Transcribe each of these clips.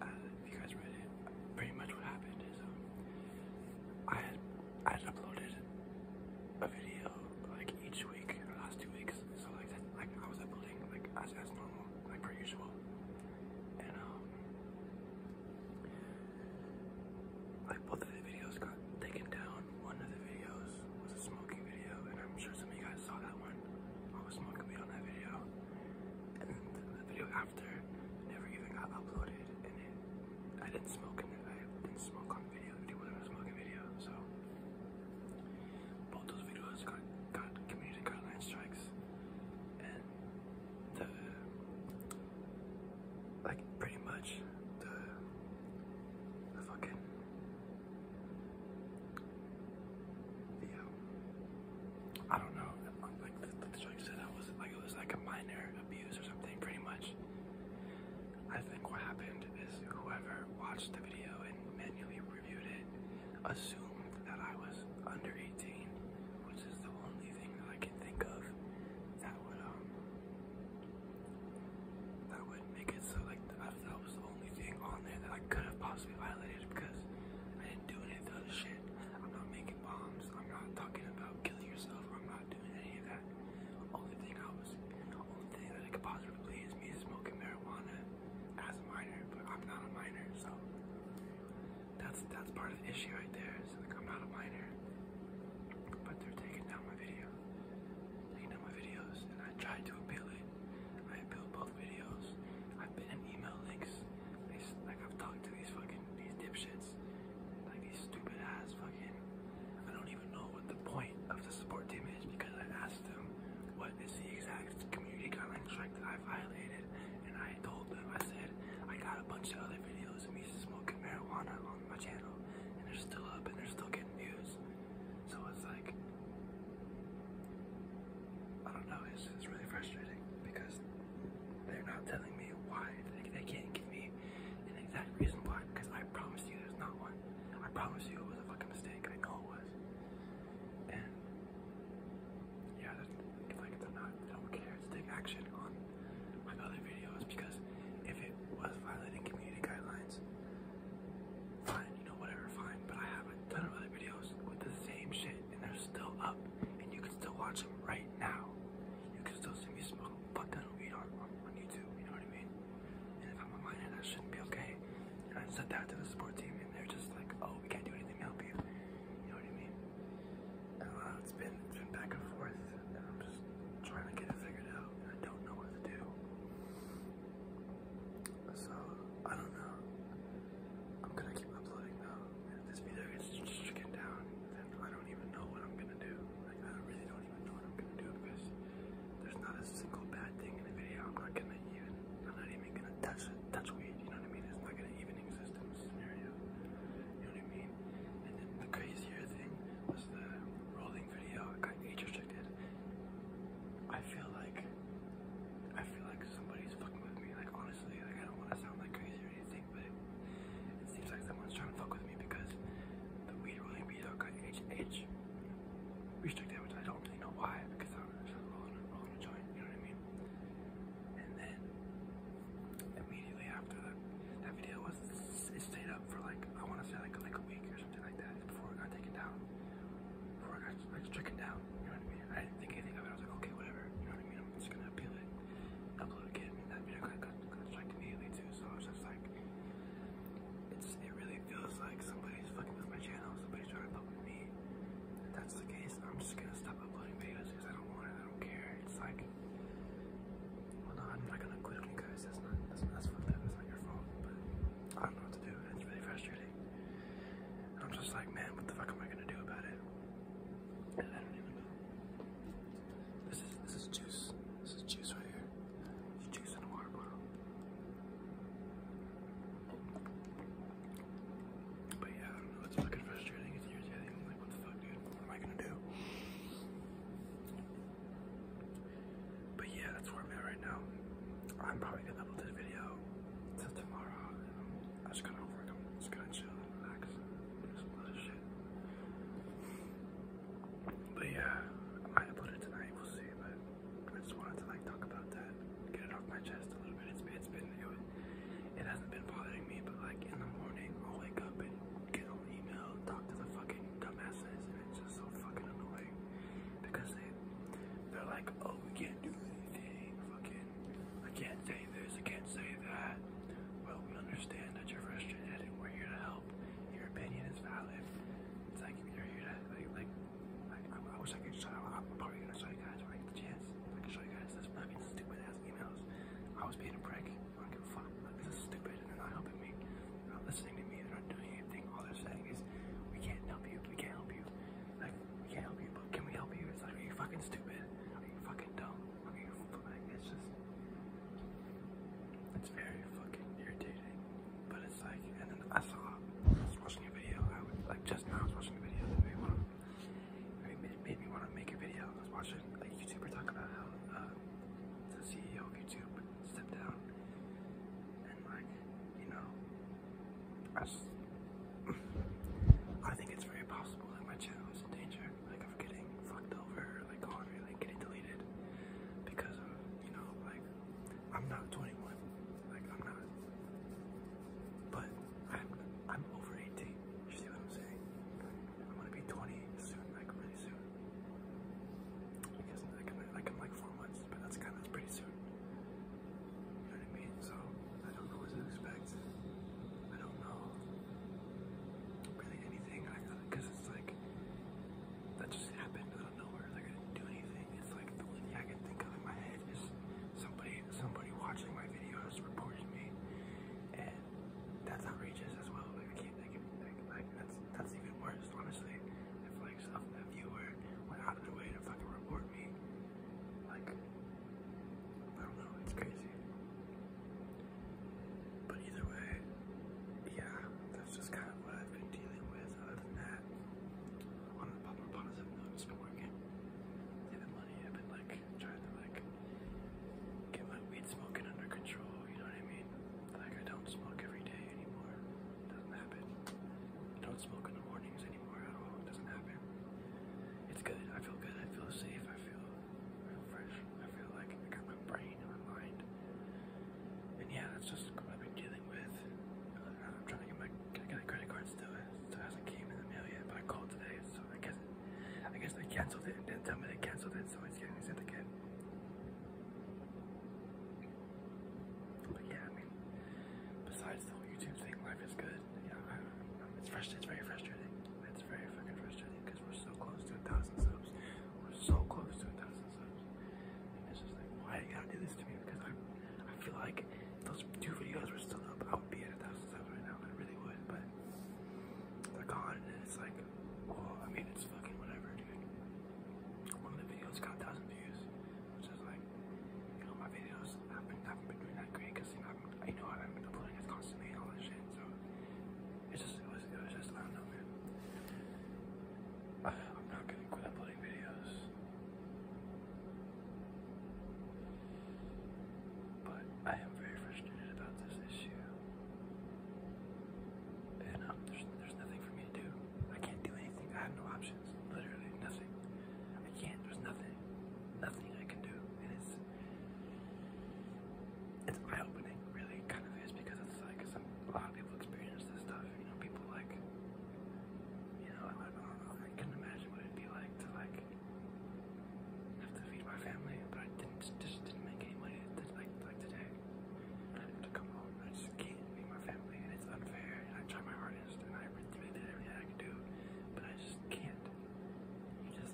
Uh, you guys read pretty much what happened is um, I had uploaded a video like each week, the last two weeks. So like that, like I was uploading like as as normal, like per usual, and um, like both of the videos got taken down. One of the videos was a smoking video, and I'm sure some of you guys saw that one. I was smoking weed on that video and the video after never even got uploaded and I didn't smoke in it. I didn't smoke on video. People didn't smoke video, so both those videos got got community guideline strikes and the like pretty much the fucking I don't know. Like the, judge said, I was like it was like a minor abuse or something, pretty much. I think what happened is whoever watched the video and manually reviewed it assumed that I was under 18, which is the only thing that I can think of that would um, that would make it so like that, that was the only thing on there that I could have possibly violated because I didn't do any of the other shit. I'm not making bombs. I'm not talking about killing yourself. I'm not doing any of that. Only thing I was, only thing that it could possibly is me smoking marijuana as a minor, but I'm not a minor, so that's that's part of the issue right there. like I'm not a minor, but they're taking down my video, taking down my videos, and I tried to appeal it. I built both videos. I've been in email links. I, like I've talked to these fucking these dipshits, like these stupid ass fucking. I don't even know what the point of the support team is because I asked them what is the exact community guidelines strike that I violated, and I told them I said I got a bunch of other videos of me smoking marijuana on my channel, and they're still up and they're still getting views. So it's like. I don't know, it's, it's really frustrating because they're not telling me why. They, they can't give me an exact reason why because I promised you there's not one. I promised you it was a fucking mistake. I know it was. And yeah, if like they're not, I don't care to take action on my other videos because if it was violating community guidelines, fine, you know, whatever, fine. But I have a ton of other videos with the same shit and they're still up and you can still watch them right now. You can still see me smoke fuck ton of weed on, on, on YouTube, you know what I mean? And if I'm online and I shouldn't be okay. And I said that to the support team and they're just like, oh, we can't do anything to help you. You know what I mean? And uh, it's been, it's been back and forth and I'm just trying to get it figured out and I don't know what to do. So, I don't know. I'm gonna keep uploading though. And if this video gets stricken down, then I don't even know what I'm gonna do. Like, I really don't even know what I'm gonna do because there's not a single bad thing in the video. I'm not gonna even, I'm not even gonna touch it, touch weed, you know what I mean? It's not gonna even exist in the scenario. You know what I mean? And then the crazier thing was the rolling video. I got age restricted. I feel like I feel like somebody's fucking with me. Like honestly, like I don't want to sound like crazy or anything, but it, it seems like someone's trying to fuck with me because the weed rolling video got H H restricted, which I don't really know why because I'm just rolling a, rolling a joint. You know what I mean? And then immediately after that, that video was it stayed up for like I want to say like like a week or something like that before it got taken down. Before it got I'm just took it down. You know what I mean? I didn't think anything of it. I was like, okay, whatever. You know what I mean? I'm just gonna appeal it. Upload again. And that video got, got, got immediately too. So I was just like, it's it really feels like somebody's fucking with my channel. Somebody's trying to fuck with me. If that's the case, I'm just gonna stop uploading videos because I don't want it. I don't care. It's like, well, no, I'm not gonna quit on you guys. That's not that's that's fucked up. That's not your fault. But I don't know what to do. It's really frustrating. I'm just like, man, what the fuck am I gonna do about it? This is this is juice. This is juice right here. It's juice in a water bottle. But yeah, It's fucking frustrating. It's irritating. like, what the fuck, dude? What am I gonna do? But yeah, that's where I'm at right now. I'm probably gonna upload this video till tomorrow. I'm just gonna work. I'm just gonna chill and relax and do But yeah, I might upload it tonight. We'll see. But I just wanted to like talk about that, get it off my chest a little bit. it's been it, was, it hasn't been bothering me, but like in the morning, I'll wake up and get on email, talk to the fucking dumbasses, and it's just so fucking annoying because they they're like, oh, we can't do anything. Fucking, I can't say this, I can't say that. Well, we understand that you're frustrated and we're here to help. Your opinion is valid. It's like, you're here to, like, like, like I, I wish I could show I'm probably gonna show you guys when I get the chance. I can show you guys this, but I mean, stupid ass emails. I was being a prick. I don't give a fuck. this is stupid and they're not helping me. They're not listening to me. They're not doing anything. All they're saying is, we can't help you. We can't help you. Like, we can't help you, but can we help you? It's like, you are fucking stupid? you Are fucking dumb? Are you it's just, it's very fucking irritating. But it's like, and then I saw, I was watching a video, I was, like just now I was watching a video that made, want made me want to make a video. I was watching a YouTuber talk about how uh, the CEO of YouTube stepped down and like, you know, I think it's very possible that my channel is in danger, like of getting fucked over, like or like getting deleted because of, you know, like I'm not 21, like I'm not, but I'm I'm over 18. You see what I'm saying? I'm gonna be 20 soon, like really soon. I guess like in like, in, but that's kind pretty soon. You know what I mean? So I don't know what to expect. I don't know really anything. I because it's like that just happened out of nowhere. Like I didn't do anything. It's like the only thing I can think of in my head is somebody somebody watching my videos reported me, and that's outrageous as well. Like I can't think of anything. Like that's that's even worse, honestly. If like a viewer went out of their way to fucking report me like, I don't know, it's crazy. But either way, yeah, that's just kind of what I've been dealing with. Other than that, on the positive note, it's been working. Saving money, I've been like trying to like get my weed smoking under control, you know what I mean? Like, I don't smoke every day anymore. doesn't happen. don't smoke in the mornings I It's good. I feel good. I feel safe. I feel, I fresh. I feel like I got my brain and my mind. And yeah, that's just what I've been dealing with. Uh, I'm trying to get my get a credit cards. still. still hasn't came in the mail yet, but I called today, so I guess I guess they canceled it and didn't tell me they canceled it, so it's getting sent again. But yeah, I mean, besides the whole YouTube thing, life is good. Yeah, it's fresh. It's very frustrating. It's very fucking frustrating because we're so close to a thousand subs. We're so close to a thousand subs, and it's just like, why you gotta do this to me? Because I, I feel like those two videos were still up, I would be at a thousand subs right now. I really would, but they're gone, and it's like, well, I mean, it's fucking whatever, dude. One of the videos got a thousand views which is like, you know, my videos haven't haven't been doing that great you know, I know I haven't been uploading as constantly and all that shit, so it's just, it was, it was just, I don't know, man. I, am not gonna quit uploading videos, but I am very frustrated about this issue. And um, there's, there's nothing for me to do. I can't do anything. I have no options. Literally nothing. I can't. There's nothing, nothing I can do, and it's it's eye-opening. Really, kind of is because it's like some, a lot of people experience this stuff. You know, people like, you know, I, I not imagine what it'd be like to like have to feed my family, but I just didn't make any money. Like like today, I have to come home. I just can't feed my family, and it's unfair. I try my hardest and I recommend everything I can do, but I just can't. You just,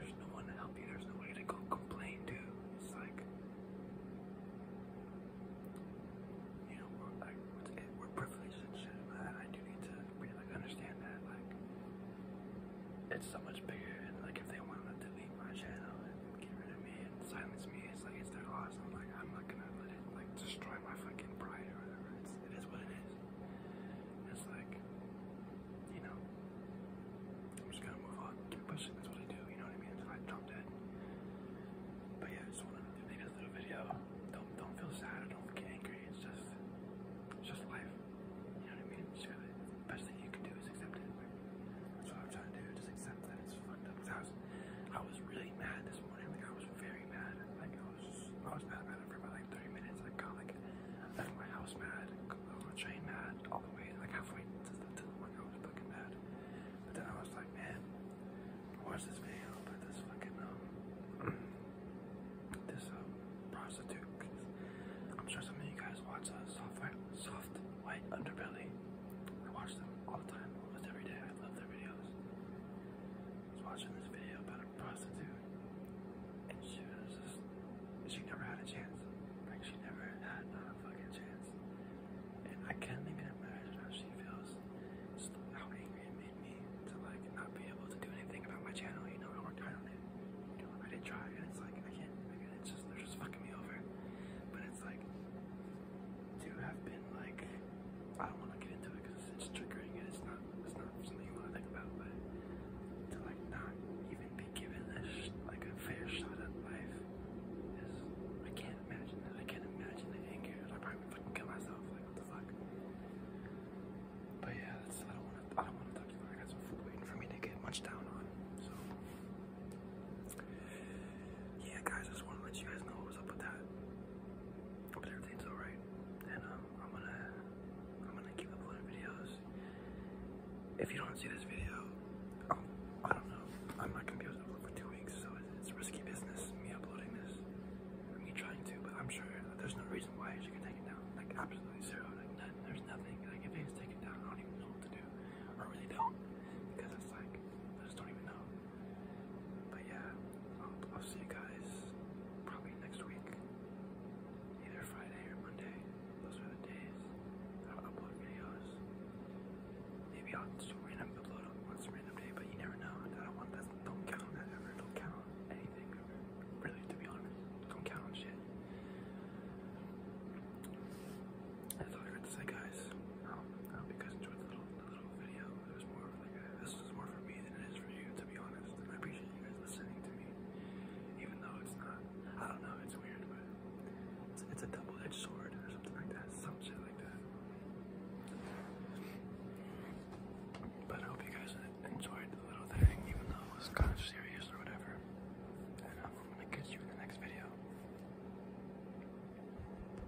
there's no one to help you, there's nobody to go complain to. It's like, you know, like, it, we and shit, I do need to really understand that, like, it's so much bigger, and like, if they want to delete my channel and get rid of me and silence me, it's like, it's their loss. I'm like, I'm not gonna let it, like, destroy my fucking pride It's, what it is. It's like, you know, I'm just gonna move on, pushing. That's what I do. You know what I mean? I drop dead. But yeah, just wanted to make this little video. Don't don't feel sad. Don't get angry. It's just it's just life. You know what I mean? best thing you can do is accept it. That's what I'm trying to do. Just accept that it's fucked up. I was really mad this morning. I was very very mad. Like I was, I was mad, mad for about like 30 minutes. Like got like out my house mad, over train mad, all the way like halfway to the to the one I was fucking mad. But then I was like, man, watch this video about this fucking um this um prostitute. i I'm sure some of you guys watch uh, soft white underbelly. I watch them all the time, almost every day. I love their videos. I was watching this video about a prostitute, and she was just, she never had a chance. Like, she never had a fucking chance. And I can't even imagine how she feels. Just how angry it made me to, like, not be able to do anything about my channel, you know? I worked hard on it. I did try, and it's like, I can't, I can it's just, they're just fucking me over. But it's like, to have been like I don't want to get into it because it's triggering and it's not it's not something you want to think about, but to like not even be given this like a fair shot at life is I can't imagine that. I can't imagine the anger. I probably would fucking kill myself. Like what the fuck. But yeah, that's, I don't want to. I don't want to talk about it. I got some food waiting for me to get munch down on. So yeah, guys, I just want to let you guys know what was up with that but everything's alright. And um, I'm gonna I'm gonna keep uploading videos. If you don't see this video, um, I don't know. I'm not gonna be able to upload for two weeks, so it's risky business. Me uploading this, me trying to, but I'm sure there's no reason why you should take it down. Like absolutely zero. Like nothing. there's nothing. Like if they just take down, I don't even know what to do. Or really don't, because it's like I just don't even know. But yeah, I'll, see you guys probably next week, either Friday or Monday. Those are the days I'll upload videos. Maybe I'll just random upload on some random day, but you never know. I don't not count that ever. Don't count anything Really, to be honest, don't count shit. That's all I got to say, guys. Um, I hope you guys enjoyed the little the was more this is more for me than it is for you, to be honest. And I appreciate you guys listening to me, even though it's not. I don't know. It's weird, but it's, it's a double-edged sword or something like that. Some shit like that. But I hope you guys enjoyed the little thing, even though it was kind of serious or whatever. And I'm gonna catch you in the next video.